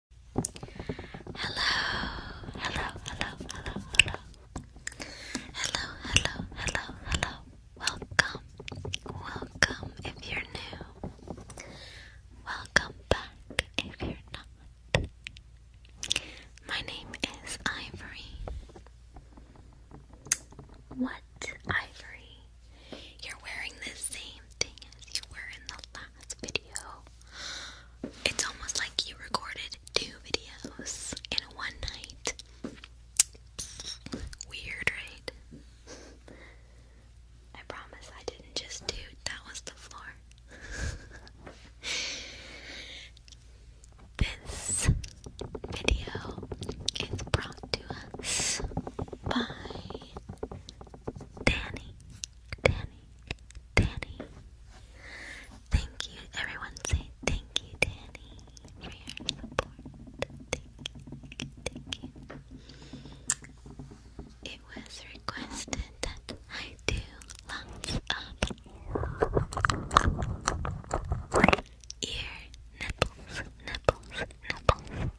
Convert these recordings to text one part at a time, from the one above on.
hello, hello, hello, hello. Hello, hello, hello, hello. Welcome. Welcome if you're new. Welcome back if you're not. My name is Ivory. What, Ivory? You're wearing the same thing as you were in the video. It's almost like you recorded two videos in one night. Weird, right? I promise I didn't just do that was the floor. this video is brought to us by Danny Danny, Danny. Thank you, everyone. Say thank you, Danny, for your Thank you, thank you. It was requested that I do lots of ear nipples, nipples, nipples.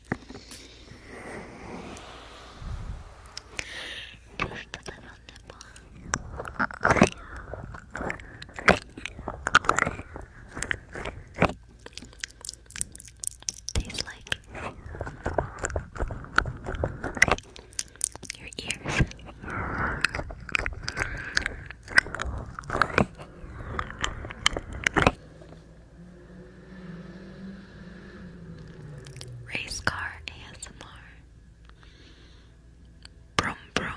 Push the little nipple. Tastes like your ears. Race car ASMR. Brum brum.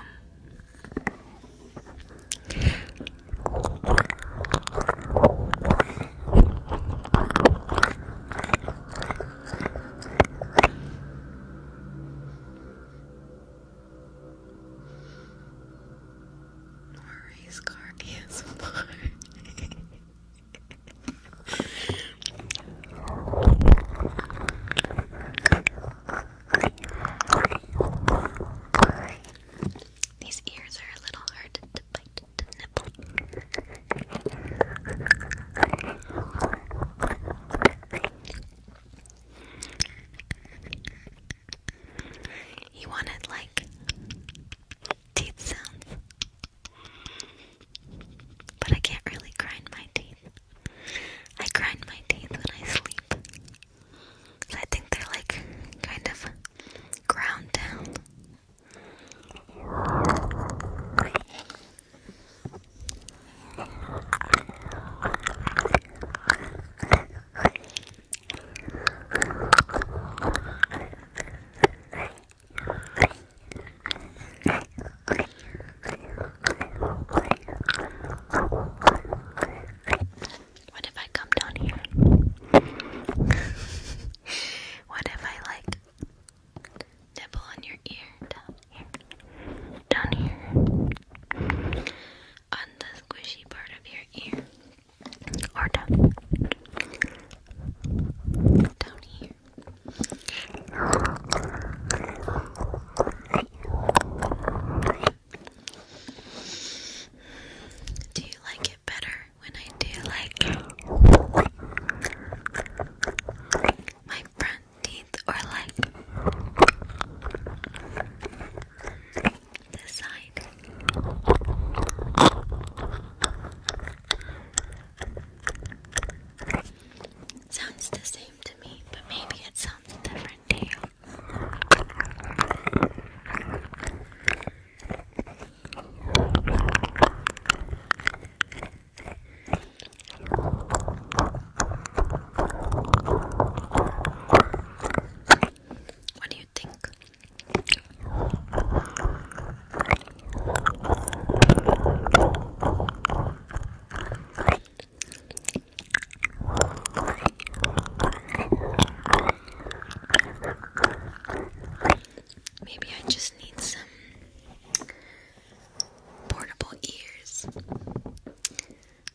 More race car ASMR. These ears are a little hard to bite, to nibble. He wanted like teeth sounds. But I can't really grind my teeth. I grind my teeth when I sleep. I think they're like kind of ground down. What if I come down here? what if I like nibble on your ear down here? Down here on the squishy part of your ear or down, down here. Do you like it better when I do like my front teeth or like this Sounds the same to me, but maybe it sounds different what do you think? Maybe I just need some portable ears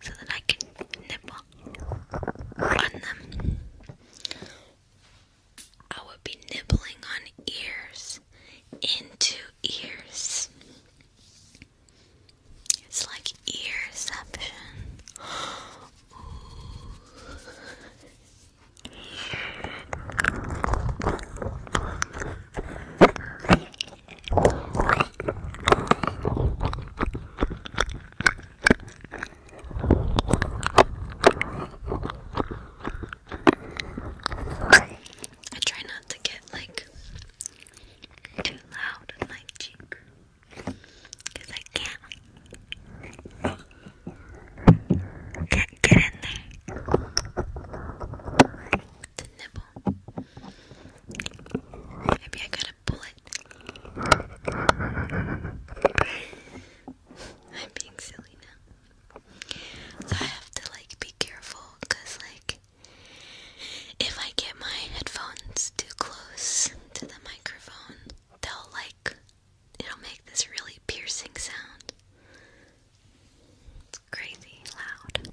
so that I can nibble on them. I would be nibbling on ears, into ears. It's like earception. I try not to get like too loud in my cheek I can't can't get in there to nibble. Maybe I gotta pull I'm being silly now. I have to like be careful like if I get my headphones too close to the microphone, they'll like it'll make this really piercing sound is crazy loud.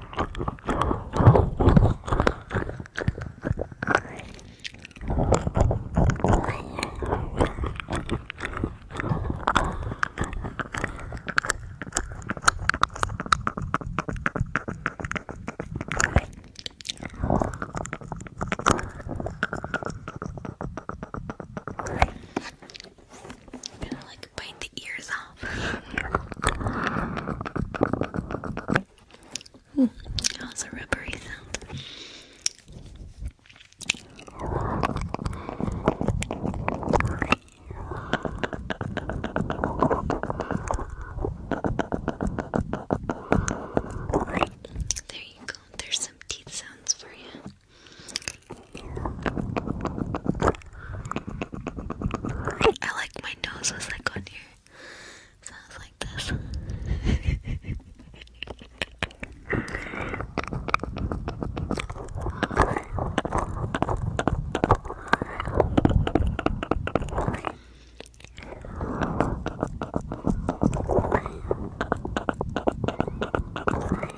I'm gonna like like bite the ears off. Hmm, that was a rubbery sound. There you go. There's some teeth sounds for you. I like my nose was like on here. Sounds like this.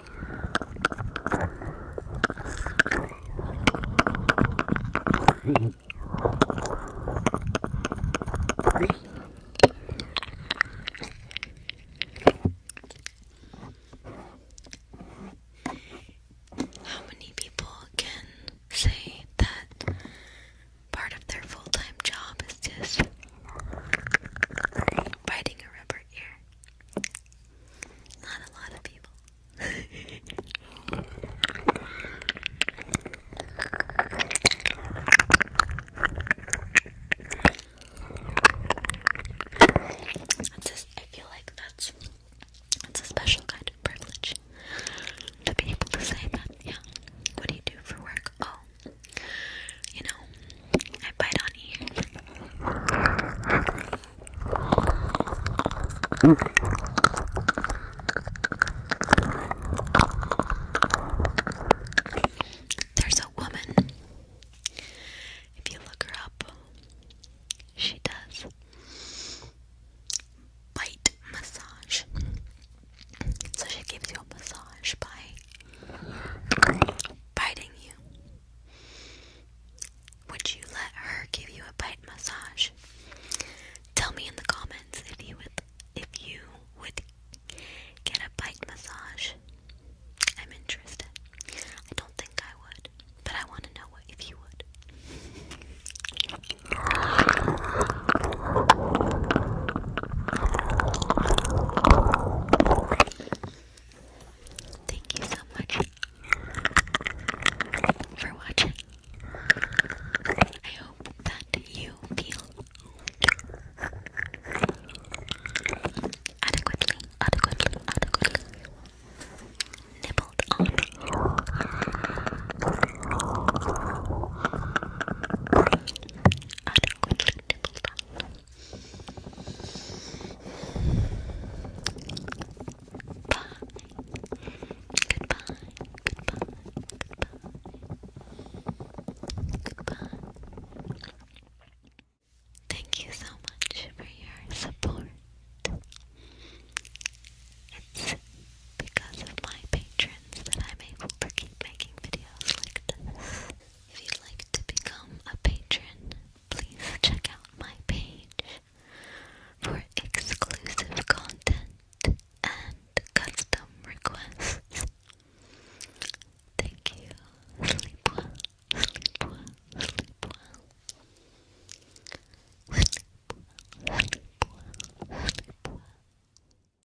How many people can say that part of their full time job is just biting a rubber ear? Not a lot of people. It's just, I feel like that's it's a special kind of privilege to be able to say that. Yeah. What do you do for work? Oh, you know, I bite on you. There's a woman. If you look her up, she does bite massage. So she gives you a massage by biting you? Would you let her give you a bite massage? Tell me in the comments if you would if you would get a bite massage. I'm interested. I don't think I would, but I want to know what if you would. Thank you so much for watching. I hope that you feel adequately, adequately, adequately nibbled on. Adequately nibbled Goodbye. Goodbye. Goodbye. Goodbye. Thank you so much for your support. It's because of my patrons that I'm able to keep making videos like this. If you'd like to become a patron, please check out my page for exclusive content and custom requests. Thank you. Sleep well, sleep well, sleep well. Sleep well, sleep well,